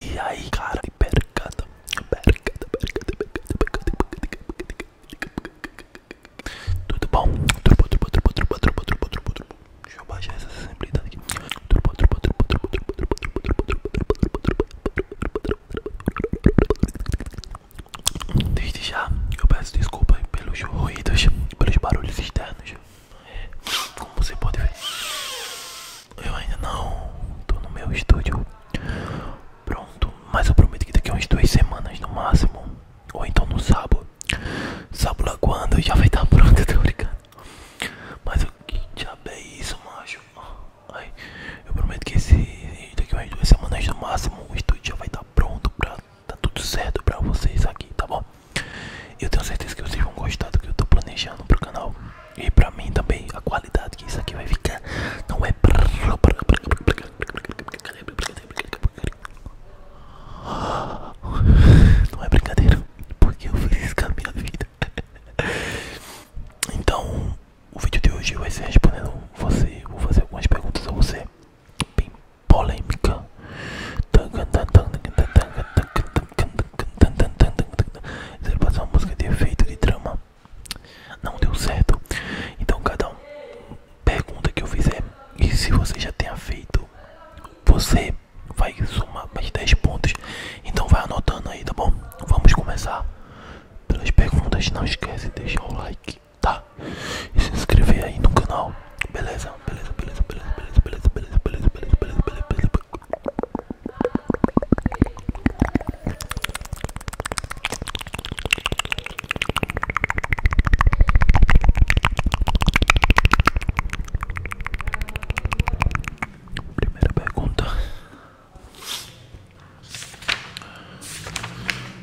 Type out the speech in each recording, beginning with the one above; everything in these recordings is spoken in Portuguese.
E aí, cara, De percata, percata, percata, percata, percata, percata, tudo bom? Turbo, turbo, turbo, turbo, turbo, turbo, turbo, turbo. Deixa eu baixar essa sensibilidade aqui. Turbo, turbo, turbo, turbo, turbo, turbo, turbo, turbo, turbo, turbo. Desde já, eu peço desculpa pelos ruídos, pelos barulhos externos. Como você pode ver, eu ainda não tô no meu estúdio pronto, mas eu prometo que daqui a umas duas semanas no máximo, ou então no sábado, sábado lá quando já vai estar tá pronto, tô brincando. Mas o que diabo é isso, macho? Ai, eu prometo que esse, daqui a umas duas semanas no máximo o estúdio já vai estar tá pronto pra tá tudo certo pra vocês aqui, tá bom? Eu tenho certeza que vocês vão gostar do que eu tô planejando pro canal. E pra mim também, a qualidade que isso aqui vai ficar não é. Não é brincadeira, porque eu fiz isso com a minha vida. Então, o vídeo de hoje vai ser respondendo você. Vou fazer algumas perguntas a você, bem polêmica. Eles passar uma música de efeito de drama Não deu certo. Então cada um pergunta que eu fizer. E se você já tenha feito, você vai somar mais 10 pontos. Então vai anotando aí, tá bom? Vamos começar pelas perguntas. Não esquece de deixar o like, tá? E se inscrever aí no canal. beleza, beleza, beleza, beleza, beleza, beleza, beleza, beleza, beleza Primeira pergunta.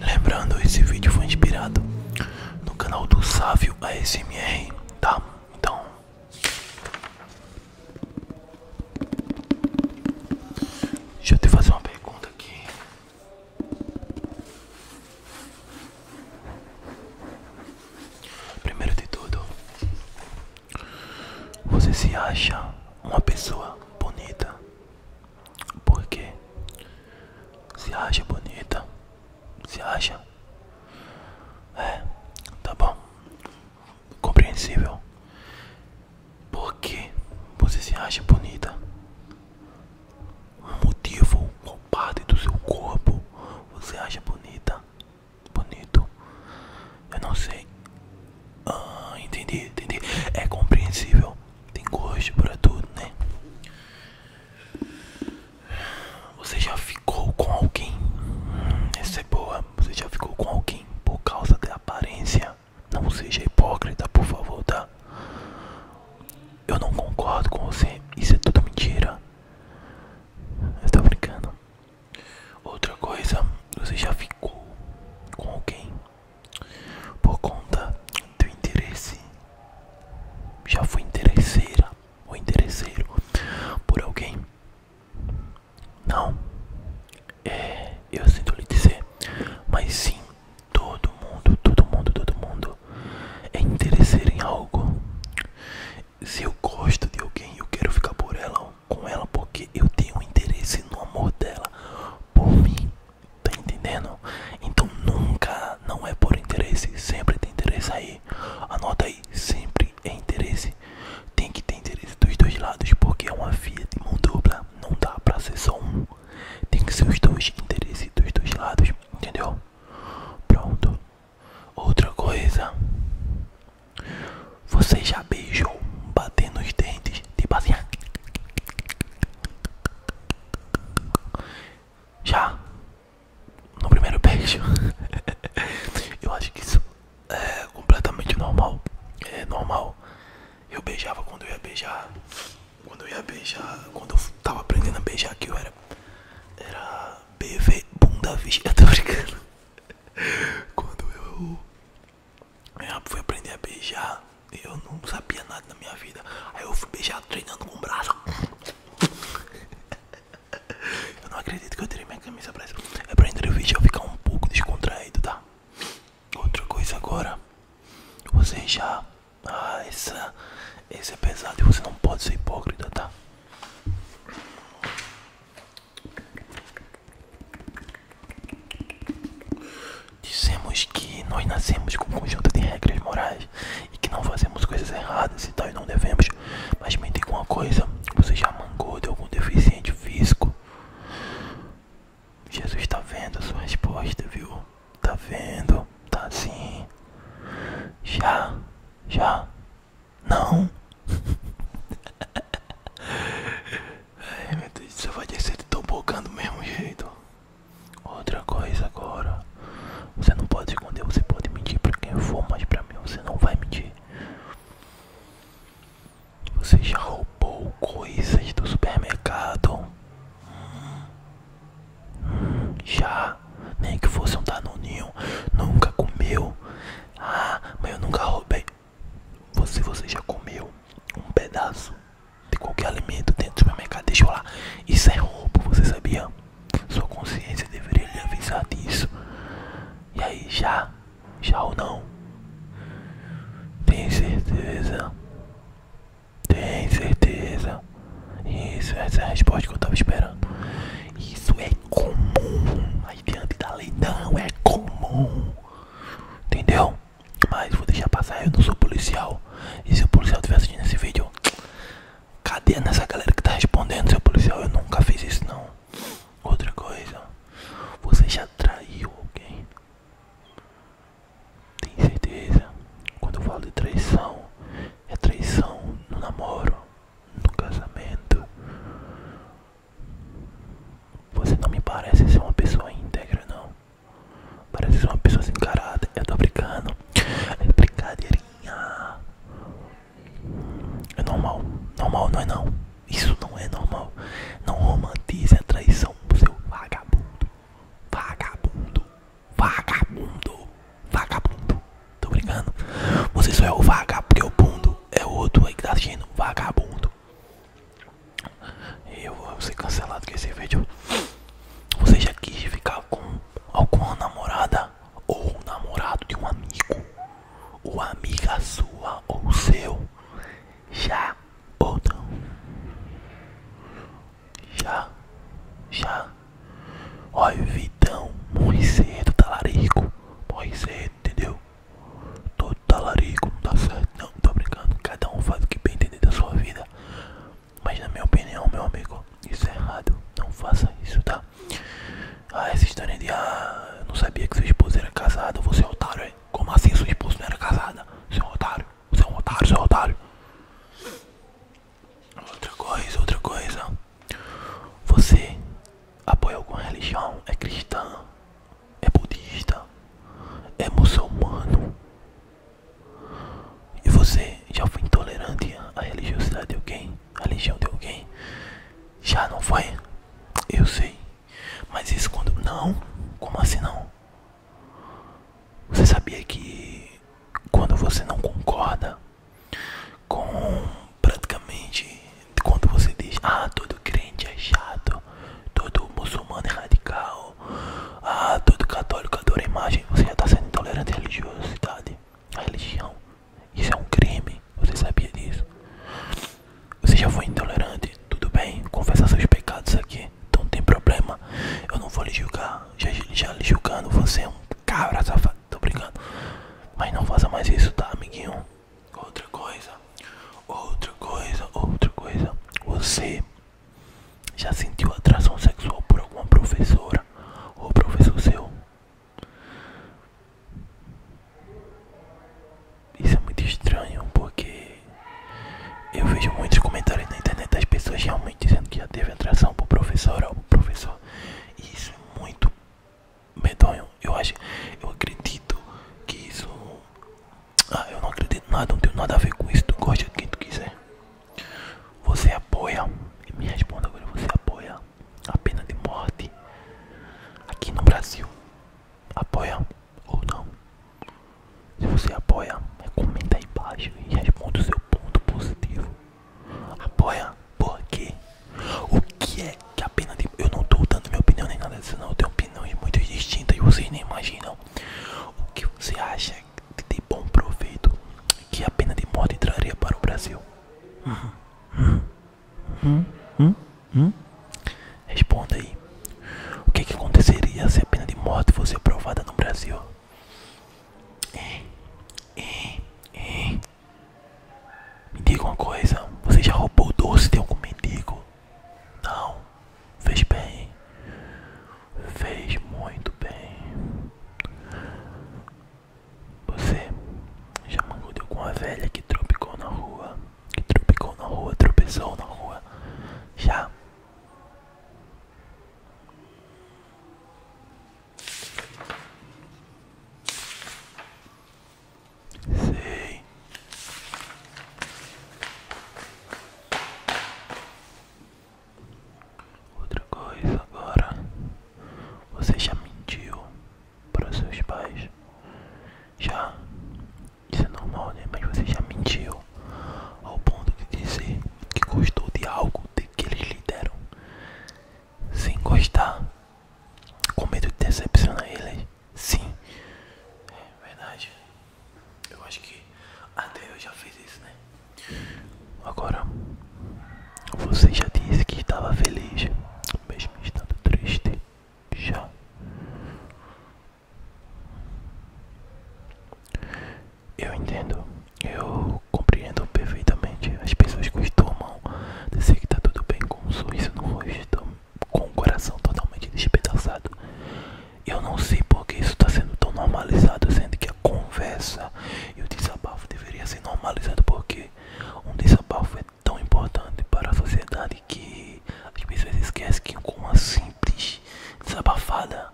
Lembrando, esse vídeo foi inspirado no canal do Sávio ASMR, tá? Então, Deixa eu te fazer uma pergunta aqui. Primeiro de tudo, você se acha uma pessoa bonita? Por quê? Se acha bonita? Se acha? É, tá bom. Compreensível. Por que você se acha bonita? Um motivo, qual parte do seu corpo você acha bonita? Bonito. Eu não sei. Ah, entendi, entendi. É compreensível. Tem gosto para tudo, né? Você já ficou com alguém? Isso é boa. Você já ficou com alguém por causa da aparência? Não seja hipócrita, por favor, tá? Eu não concordo com você. Isso é tudo mentira. Você tá brincando? Outra coisa, você já ficou com alguém por conta do interesse? Já foi interesseira ou interesseiro por alguém? Não, é, eu sinto lhe dizer, mas sim, todo mundo, todo mundo, todo mundo é interesseiro em algo. Se eu gosto de alguém, eu quero ficar por ela, com ela, porque eu tenho interesse no amor dela por mim. Tá entendendo? Então nunca, não é por interesse, sempre tem interesse aí. Anota aí, sempre é interesse. Tem que ter interesse dos dois lados, porque é uma via de mão dupla. Não dá pra ser só um. Tem que ser os dois interesses dos dois lados, entendeu? Pronto. Outra coisa. Você já beijou batendo nos dentes? Tipo assim. Já? no primeiro beijo. eu acho que isso é completamente normal. É normal. Eu beijava quando eu ia beijar. Quando eu ia beijar. Quando eu tava aprendendo a beijar que eu era. Era BV bunda vista. Eu brincando. Quando eu, é, fui aprender a beijar, eu não sabia nada na minha vida. Aí eu fui beijar treinando com o braço. Eu não acredito que eu tirei minha camisa pra isso. É pra entrevista eu ficar um pouco descontraído, tá? Outra coisa agora. Você já. Ah, essa. Esse é pesado e você não pode ser hipócrita, tá? Dizemos que nós nascemos com um conjunto de regras morais e que não fazemos coisas erradas e tal, e não devemos. Mas me diga uma coisa: você já mangou de algum deficiente físico? Jesus está vendo a sua resposta, viu? Está vendo? Está sim. Já? Já? Não? Ai meu Deus, você vai descer do tobogã do mesmo jeito. Outra coisa agora. Você não pode esconder, você pode mentir pra quem for, mas pra mim você não vai mentir. Você já roubou coisas do supermercado? já, nem que fosse um danoninho, nunca comeu. Ah, mas eu nunca roubei. Você, você já comeu um pedaço de qualquer alimento dentro do supermercado? Deixa eu lá. Isso é roubo, você sabia? Sua consciência deveria lhe avisar disso. E aí, já? Já ou não? Tem certeza? Tem certeza? Isso, essa é a resposta que eu tava esperando. Isso é comum. aí diante da lei não é comum. Entendeu? Mas vou deixar passar, eu não sou policial. E se o policial estiver assistindo esse vídeo, Cadê essa galera que tá respondendo, seu policial? Eu nunca fiz isso não. Outra coisa, você já traiu alguém? Tem certeza? Quando eu falo de traição, é traição no namoro, no casamento. Você não me parece ser uma pessoa íntegra, não. Parece ser uma pessoa encarada, caráter. Eu tô brincando. É brincadeira é normal. Normal não é não. Isso não é normal. Não romantize a é traição, seu vagabundo. Vagabundo. Vagabundo. Vagabundo. Tô brincando. Você só é o vagabundo porque é o bundo é outro aí que tá agindo. Vagabundo. Eu vou ser cancelado com esse vídeo. Você já quis ficar com alguma namorada ou namorado de um amigo ou amiga sua ou seu já ou não já já olha o Vitão morre cedo talarico morre cedo entendeu todo talarico não dá certo não tô brincando cada um faz o que bem entender da sua vida mas na minha opinião, meu amigo, isso é errado. Não faça isso, tá? Ah, essa história de ah, eu não sabia que sua esposa era casada, você é otário, hein? Como assim sua esposa não era casada? Você é otário, você é otário, você é otário. Outra coisa, outra coisa. Você apoia alguma religião? É cristã? É budista? É muçulmano? E você já foi intolerante à religiosidade de alguém? A religião de alguém? Já não foi? Eu sei. Mas isso quando. Não? Como assim não? Você sabia que quando você não concorda com praticamente quando você diz ah todo crente é chato, todo muçulmano é radical, ah, todo católico adora a imagem. Você já está sendo intolerante à religiosidade, A religião. Isso é um crime. Você sabia disso? Você já foi intolerante? Tudo bem, confessar seus pecados aqui. Então não tem problema. Eu não vou lhe julgar. Já, já lhe julgando, você é um cabra safado. Tô brincando. Mas não faça mais isso, tá, amiguinho? Outra coisa, outra coisa, outra coisa. Você já sentiu atração sexual por alguma professora ou professor seu? Isso é muito estranho porque eu vejo muitos comentários na internet das pessoas realmente dizendo que já teve atração por professora ou professor. isso é muito medonho. Eu acho, eu acredito que isso. Ah, eu não acredito nada, não tenho nada a ver com isso. Tu gosta de quem tu quiser. Você apoia? Me responda agora, você apoia a pena de morte aqui no Brasil? Apoia ou não? Se você apoia, comenta aí embaixo e responda o seu ponto positivo. Apoia por quê? O que é que a pena de Eu não estou dando minha opinião nem nada disso não, eu tenho opiniões muito distintas e vocês nem imaginam. O que você acha de bom proveito que a pena de morte traria para o Brasil? Responda aí. O é que, aconteceria se a pena de morte fosse aprovada no Brasil? Me diga uma coisa, você já roubou doce de algum mendigo? Não, fez bem fez muito bem. Você já mangudeu com a velha que tropicou na rua, que tropicou na rua, tropeçou na rua, já? Sei. Outra coisa agora, você já mentiu para seus pais? Já? Isso é normal, né? Mas você já mentiu ao ponto de dizer que gostou de algo de que eles lhe deram, sem gostar, com medo de decepcionar eles? Sim, é verdade. Eu acho que até eu já fiz isso, né? Agora, você já disse que estava feliz, mesmo estando triste. Já. Eu entendo, eu compreendo perfeitamente. As pessoas costumam dizer que está tudo bem com um sorriso não estou com o coração totalmente despedaçado. Eu não sei porque isso está sendo tão normalizado, sendo que a conversa e o desabafo deveria ser normalizado porque um desabafo é tão importante para a sociedade que as pessoas esquecem que com uma simples desabafada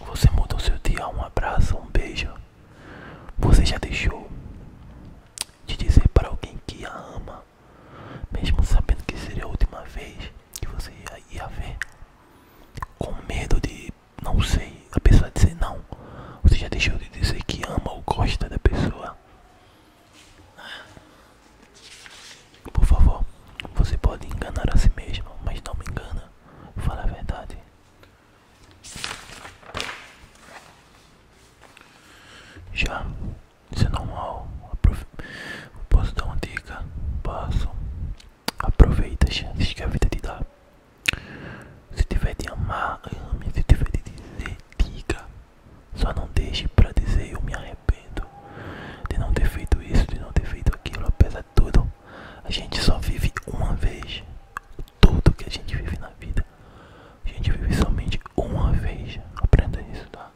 você muda o seu dia, um abraço, um beijo. Você já deixou de dizer para alguém que a ama, mesmo sabendo que seria a última vez que você ia, ver com medo de não sei, a pessoa dizer não. Você já deixou de dizer que ama ou gosta da pessoa. Por favor, você pode enganar a si mesmo, mas não me engana. Fala a verdade. Já, isso é normal. Posso dar uma dica? Posso. Aproveita as chances que a vida te dá. Se tiver de amar, ame. Se tiver de dizer, diga. Só não deixe pra dizer eu me arrependo de não ter feito isso, de não ter feito aquilo. Apesar de tudo, a gente só vive uma vez. Tudo que a gente vive na vida, a gente vive somente uma vez. Aprenda isso, tá?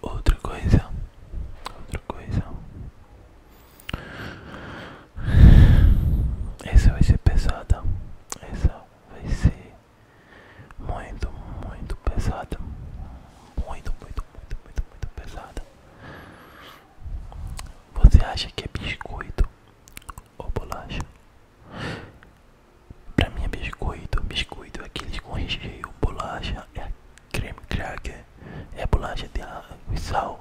Outra coisa, outra coisa. Essa vai ser pesada. Essa vai ser muito, muito pesada. Muito, muito, muito, muito, muito pesada. Você acha que é biscoito ou bolacha? Pra mim é biscoito, biscoito é aqueles com recheio, bolacha é creme cracker, é bolacha de sal,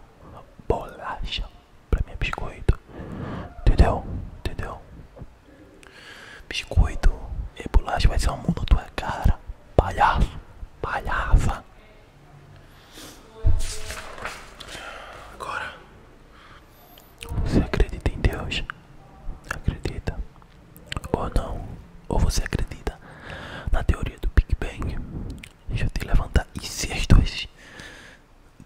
bolacha, pra mim é biscoito, entendeu? Entendeu? Biscoito é bolacha vai ser um mundo na tua cara, palhaço, palhaça. Agora, você acredita em Deus? Acredita? Ou não? Ou você acredita na teoria do Big Bang? Deixa eu te levantar. E se as duas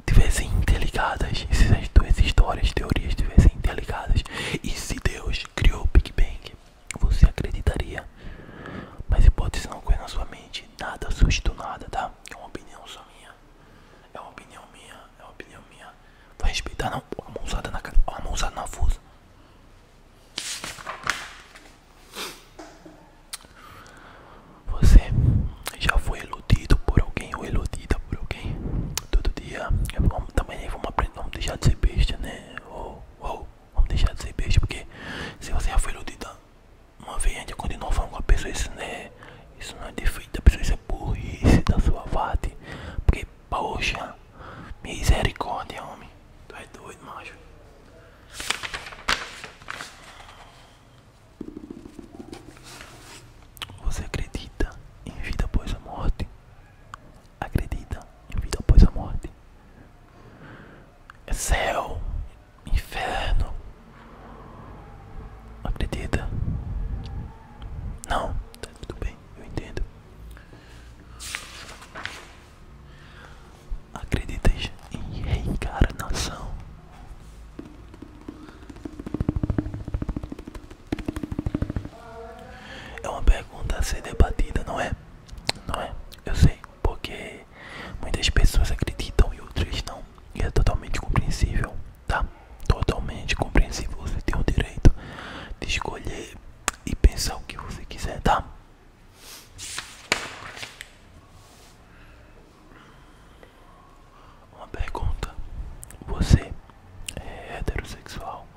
tivessem interligadas? E se as duas histórias, teorias tivessem interligadas? E se Deus criou o Big Bang? Você acreditaria? Mas hipótese não ocorre na sua mente. Nada susto nada, tá? É uma opinião só minha. É uma opinião minha. É uma opinião minha. Vai respeitar, não? Ó, a na cara. Ó, a mãozada na fusa. Você já foi iludido por alguém ou eludida por alguém? Todo dia é, vamos, também vamos aprender, vamos deixar de ser besta, né? Ou, oh, vamos deixar de ser besta, porque se você já foi iludida uma vez, a gente continua falando com a pessoa, isso, né? Isso não é defeito da pessoa, isso é burrice da sua parte. Porque Poxa, misericórdia, homem. Tu é doido, macho. Você acredita em vida após a morte? Acredita em vida após a morte? É céu, inferno. Acredita? Não, tá tudo bem eu entendo. Acreditas em reencarnação? É uma pergunta a ser debatida, não é? Não é? Eu sei, porque muitas pessoas acreditam e outras não. E é totalmente compreensível, tá? Totalmente compreensível. Você tem o direito de escolher e pensar o que você quiser, tá? Uma pergunta: Você é heterossexual,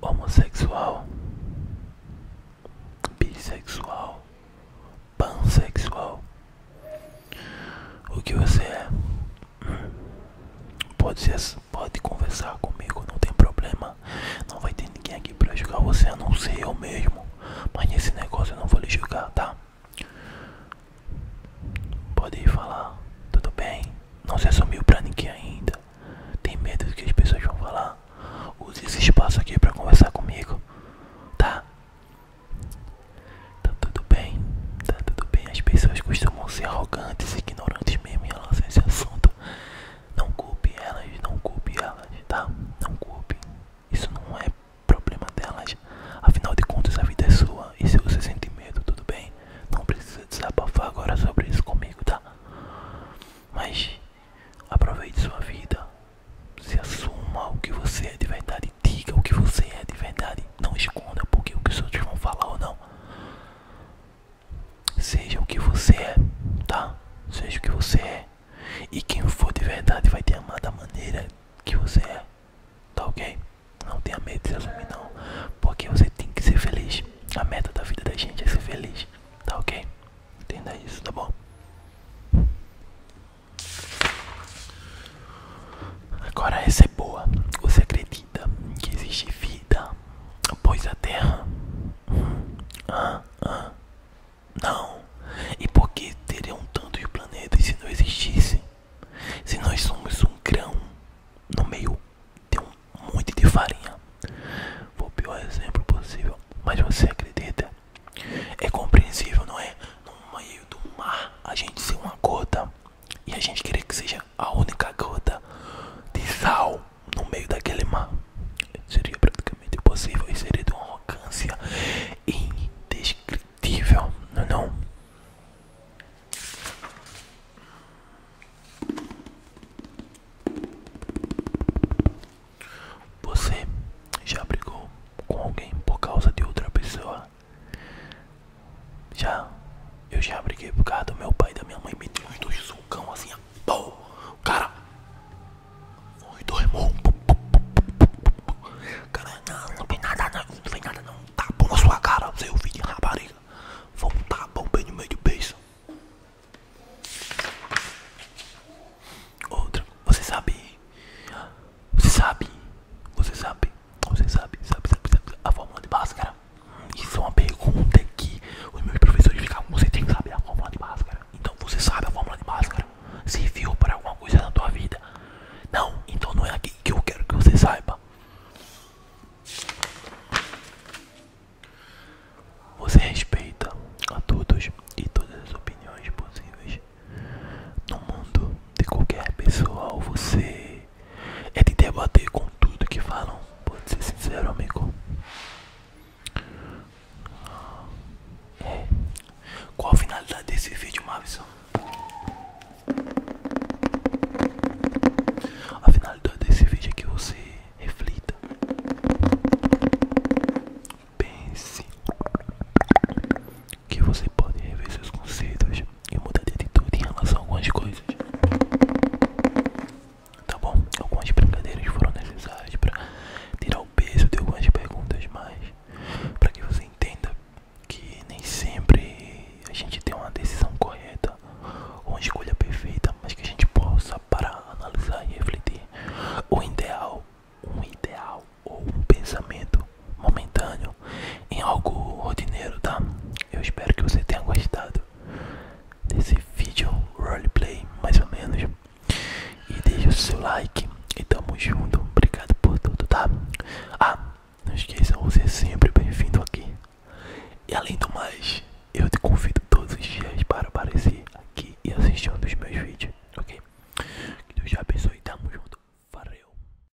homossexual, bissexual, pansexual? O que você é? Pode, ser, pode conversar comigo, não tem problema. Não vai ter ninguém aqui pra julgar você, a não ser eu mesmo. Mas nesse negócio eu não vou lhe julgar, tá? Pode falar, tudo bem? Não se assumiu pra ninguém ainda. Tem medo do que as pessoas vão falar? Use esse espaço aqui pra conversar comigo, tá? Tá tudo bem, tá tudo bem. As pessoas costumam ser arrogantes ignorantes mesmo relação a esse assunto. Não culpe elas, não culpe elas, tá? Não culpe. Isso não é problema delas. Afinal de contas, a vida é sua. E se você sente medo, tudo bem. Não precisa desabafar agora sobre isso comigo, tá? Mas aproveite sua vida. Se assuma o que você é de verdade. Diga o que você é de verdade. Não esconda porque o que os outros vão falar ou não. Seja o que você é, tá? Seja o que você é. E quem for de verdade vai te amar da maneira que você é. Tá ok? Não tenha medo de se não. Porque você tem que ser feliz. A meta da vida da gente é ser feliz. Tá ok? Entenda isso, tá bom? Agora essa é boa. Você acredita que existe vida após a Terra? Hum? Não. E por que teriam tanto de planetas se não existisse? Se nós somos um grão no meio de um monte de farinha. Foi o pior exemplo possível. Mas você acredita? É compreensível, não é? No meio do mar, a gente ser uma gota e a gente querer que seja a única gota de sal no meio daquele mar. Seria praticamente impossível e seria de uma arrogância indescritível, não é não? Você já brigou com alguém por causa de outra pessoa? Já, eu já briguei por causa do meu pai e da minha mãe. Meteu os dois socão assim, pô, cara. Foi dois irmãos. Cara, não, não nada, não. Não tem nada, não. Um tá tapão na sua cara, seu é filho de rapariga. Foi um bom bem no meio do beijo. Outra, você sabe. Você sabe. Você sabe você sabe, sabe, sabe, a fórmula de Bhaskara? Isso é uma pergunta que os meus professores ficavam. Você tem que saber a fórmula de Bhaskara. Então você sabe a fórmula de Bhaskara? Serviu para alguma coisa na tua vida? Não, então não é aqui que eu quero que você saiba. Você respeita a todos e todas as opiniões possíveis no mundo de qualquer pessoa ou você é de debater com tudo que falam. Pode ser sincero, amigo. É. Qual a finalidade desse vídeo, Mavison? A finalidade desse vídeo é que você reflita, pense que você pode rever seus conceitos e mudar de atitude em relação a algumas coisas. Tá bom? Algumas brincadeiras foram necessárias para tirar o peso de algumas perguntas, mas para que você entenda que nem sempre a gente tem uma decisão correta ou uma escolha perfeita, mas que a gente possa parar, analisar e refletir. O ideal, um ideal ou um pensamento momentâneo, em algo rotineiro, tá? Eu espero que você tenha gostado desse vídeo roleplay, mais ou menos. E deixe o seu like e tamo junto. Obrigado por tudo, tá? Ah, não esqueça, você é sempre bem-vindo aqui. E além do mais, eu te convido todos os dias para aparecer aqui e assistir um dos meus vídeos, ok? Que Deus te abençoe, tamo junto. Valeu!